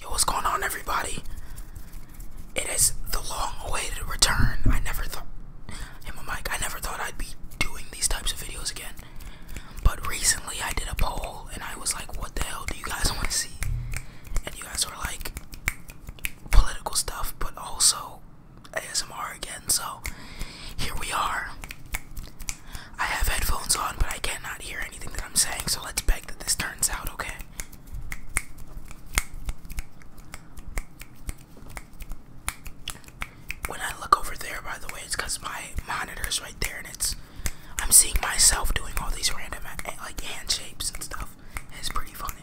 Yo, what's going on, everybody? It is the long-awaited return. I never thought, my mic. I never thought I'd be doing these types of videos again. But recently, I did a poll, and I was like, "What the hell do you guys want to see?" And you guys were like, "Political stuff, but also ASMR again." So here we are. I have headphones on, but I cannot hear anything that I'm saying. So let's beg that this turns out okay. When I look over there, by the way, it's my monitor's right there, and it's I'm seeing myself doing all these random like hand shapes and stuff. it's pretty funny.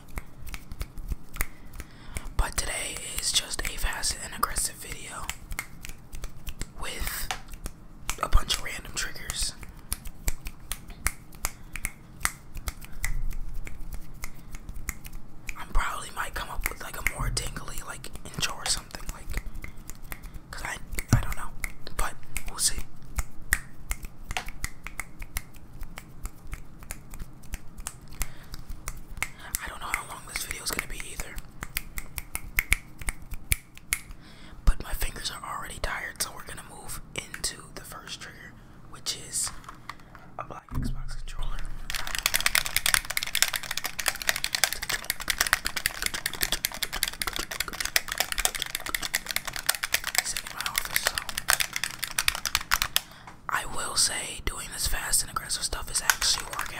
But today is just a fast and aggressive video with a bunch of random triggers. I probably might come up with like a more dangly like intro or something like cuz I I don't know, but we'll see. I don't know how long this video is going to be either. But my fingers are already tired, so we're gonna move into the first trigger, which is a black Xbox controller. I will say doing this fast and aggressive stuff is actually working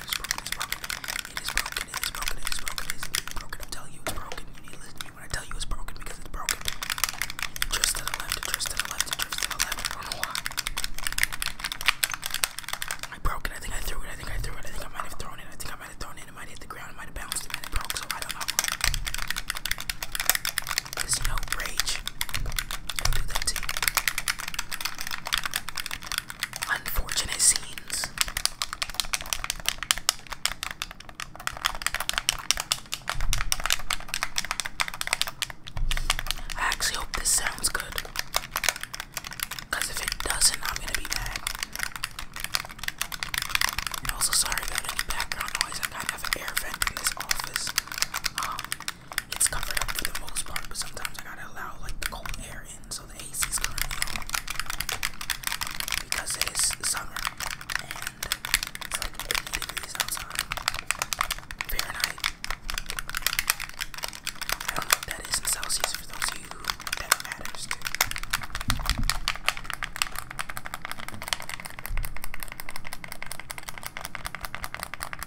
It's broken, it's broken. It is broken, it is broken, it is broken, it is broken. I'm telling you it's broken. You need to listen to me when I tell you it's broken because it's broken. Just to the left, just to the left, just to the left. I don't know why. I broke it. I think I threw it. I think I threw it. I think I might have thrown it. I think I might have thrown it. It might hit the ground. It might have bounced. It might have broke. So I don't know. There's no rage. I'll do that to you unfortunate scenes. I actually hope this sounds good. Because if it doesn't, I'm going to be mad. And also, sorry about any background noise. I kind of an air vent in this office. Um, it's covered up for the most part, but sometimes I gotta allow like the cold air so the AC is currently on because it is summer and it's like 80 degrees outside. Fahrenheit. I don't know if that is Celsius for those of you that matters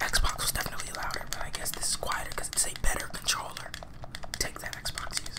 Xbox was definitely louder, but I guess this is quieter because it's a better controller. Take that, Xbox users.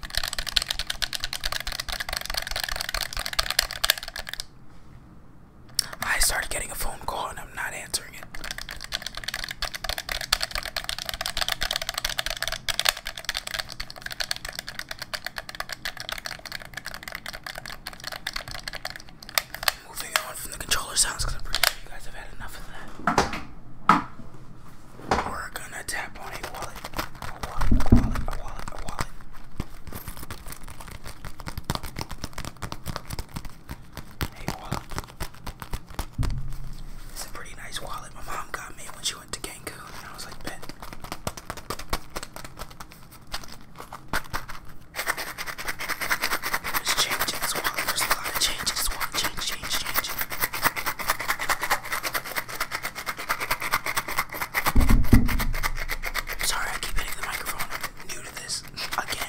I started getting a phone call and I'm not answering it. Moving on from the controller sounds because I'm pretty sure you guys have had enough of that. We're gonna tap on a wallet a wallet, a wallet, a wallet, a wallet. Hey, wallet. It's a pretty nice wallet my mom got me when she went to Cancun, and I was like, bet. There's change in this wallet. There's a lot of change in this wallet. Change, change, change. Sorry, I keep hitting the microphone. I'm new to this again.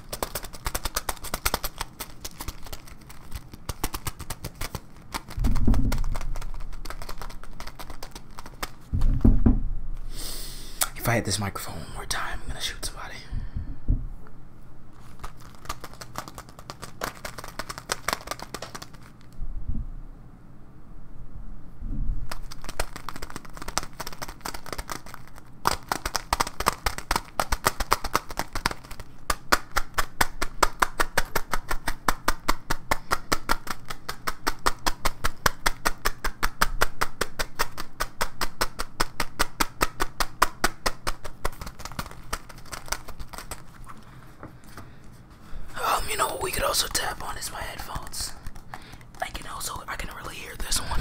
If I hit this microphone one more time, I'm gonna shoot somebody. Um, you know what we could also tap on is my headphones. I can also I can really hear this one.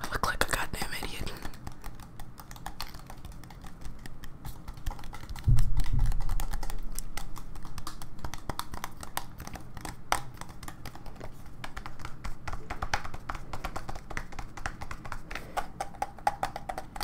I look like a goddamn idiot.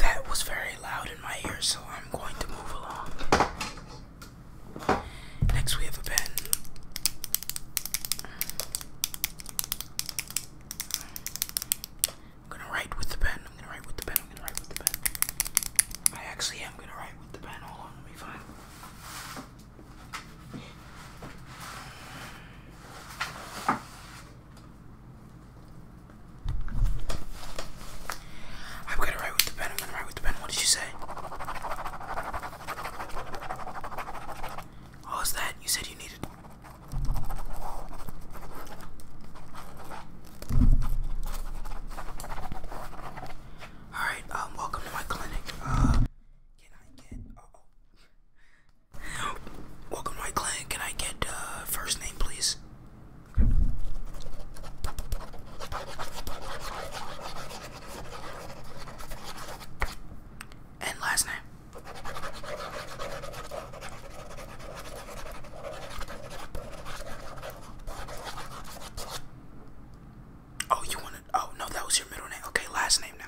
That was very loud in my ear, so I'm going to move along. Next we have a pen. I'm gonna write with the pen. I'm gonna write with the pen. I'm gonna write with the pen. I actually am gonna write with the pen. Hold on, let me find. I'm gonna write with the pen. i with the pen. What did you say? What was that? You said you needed. Alright, um, welcome to my clinic. Uh, can I get. oh. welcome to my clinic. Can I get, uh, first name, please? And last name. Oh, you wanted. Oh, no, that was your middle name. Okay, last name now.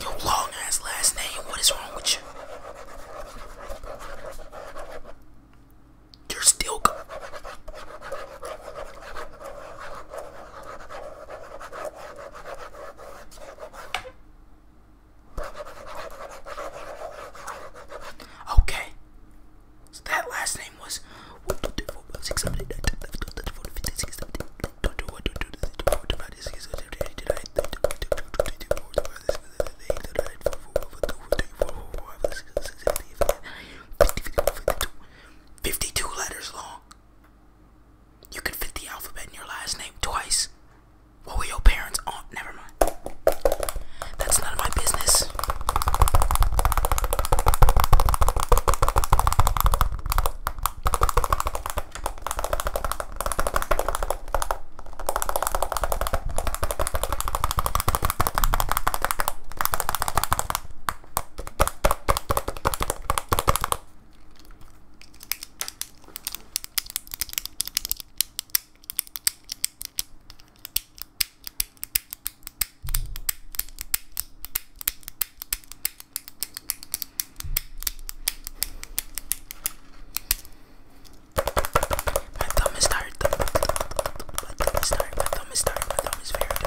Your long ass last name, what is wrong with you? You're still good. Okay. So that last name was Fifty-two letters long. You can fit the alphabet in your last name twice. What were your parents on? Never mind. That's none of my business. My thumb is tired. My thumb is tired. My thumb is tired. My thumb is very tired.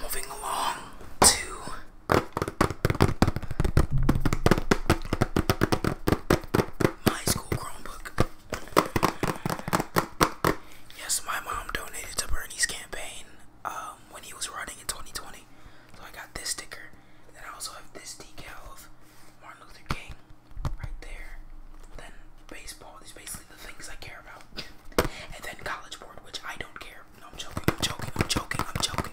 Moving along to my school Chromebook. Yes, my mom donated to Bernie's campaign um, when he was running in 2020. So I got this sticker. And then I also have this decal of Martin Luther King right there. Then baseball. These baseball the things I care about. And then College Board, which I don't care. No, I'm joking, I'm joking, I'm joking, I'm joking.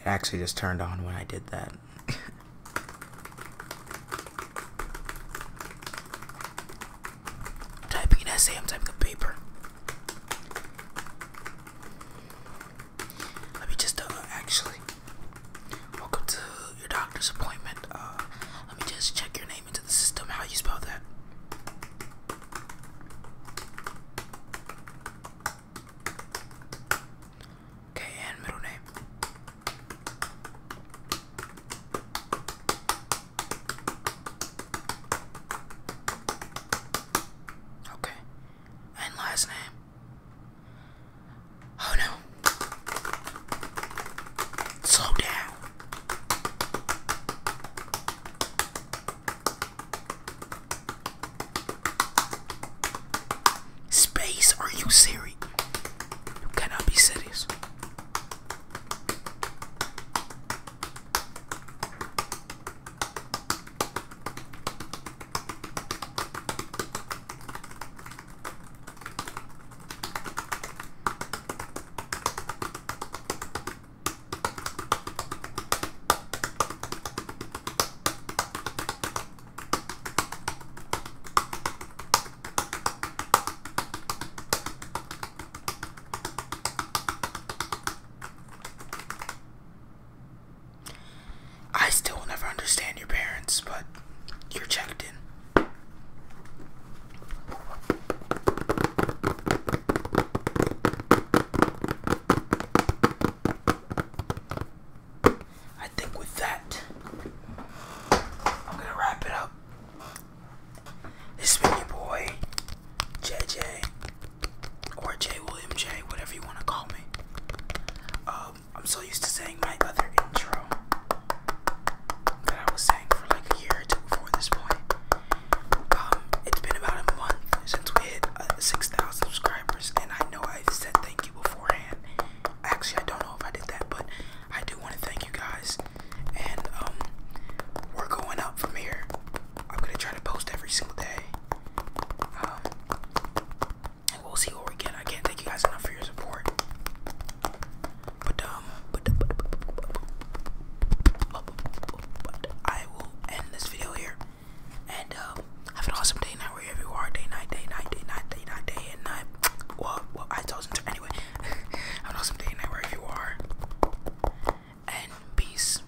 It actually just turned on when I did that. typing essay, I'm typing a paper. Let me just, uh, actually. Welcome to your doctor's appointment. Uh, let me just check your name into the system. How you spell that? Okay, and middle name. Okay, and last name. Oh no. Slow down. Space, are you serious? You cannot be serious. I still never understand your parents, but you're checked in. I think with that, I'm gonna wrap it up. This mini been your boy, JJ, or J William J, whatever you wanna call me. Uh, I'm so used to saying my other intro that I was saying for like a year or two before this point. Um, it's been about a month since we hit uh, 6,000 subscribers, and I know i said thank you beforehand. Actually, I don't know if I did that, but I do want to thank you guys. And um, we're going up from here. I'm gonna try to post every single day. Um, and we'll see what we get. I can't thank you guys enough for your support. But um but, but, but, but, but, but I will end this video here. And have an awesome day night wherever you are, day night, day night, day night, day night, day night. Well well I told them to anyway. have an awesome day night wherever you are. And peace.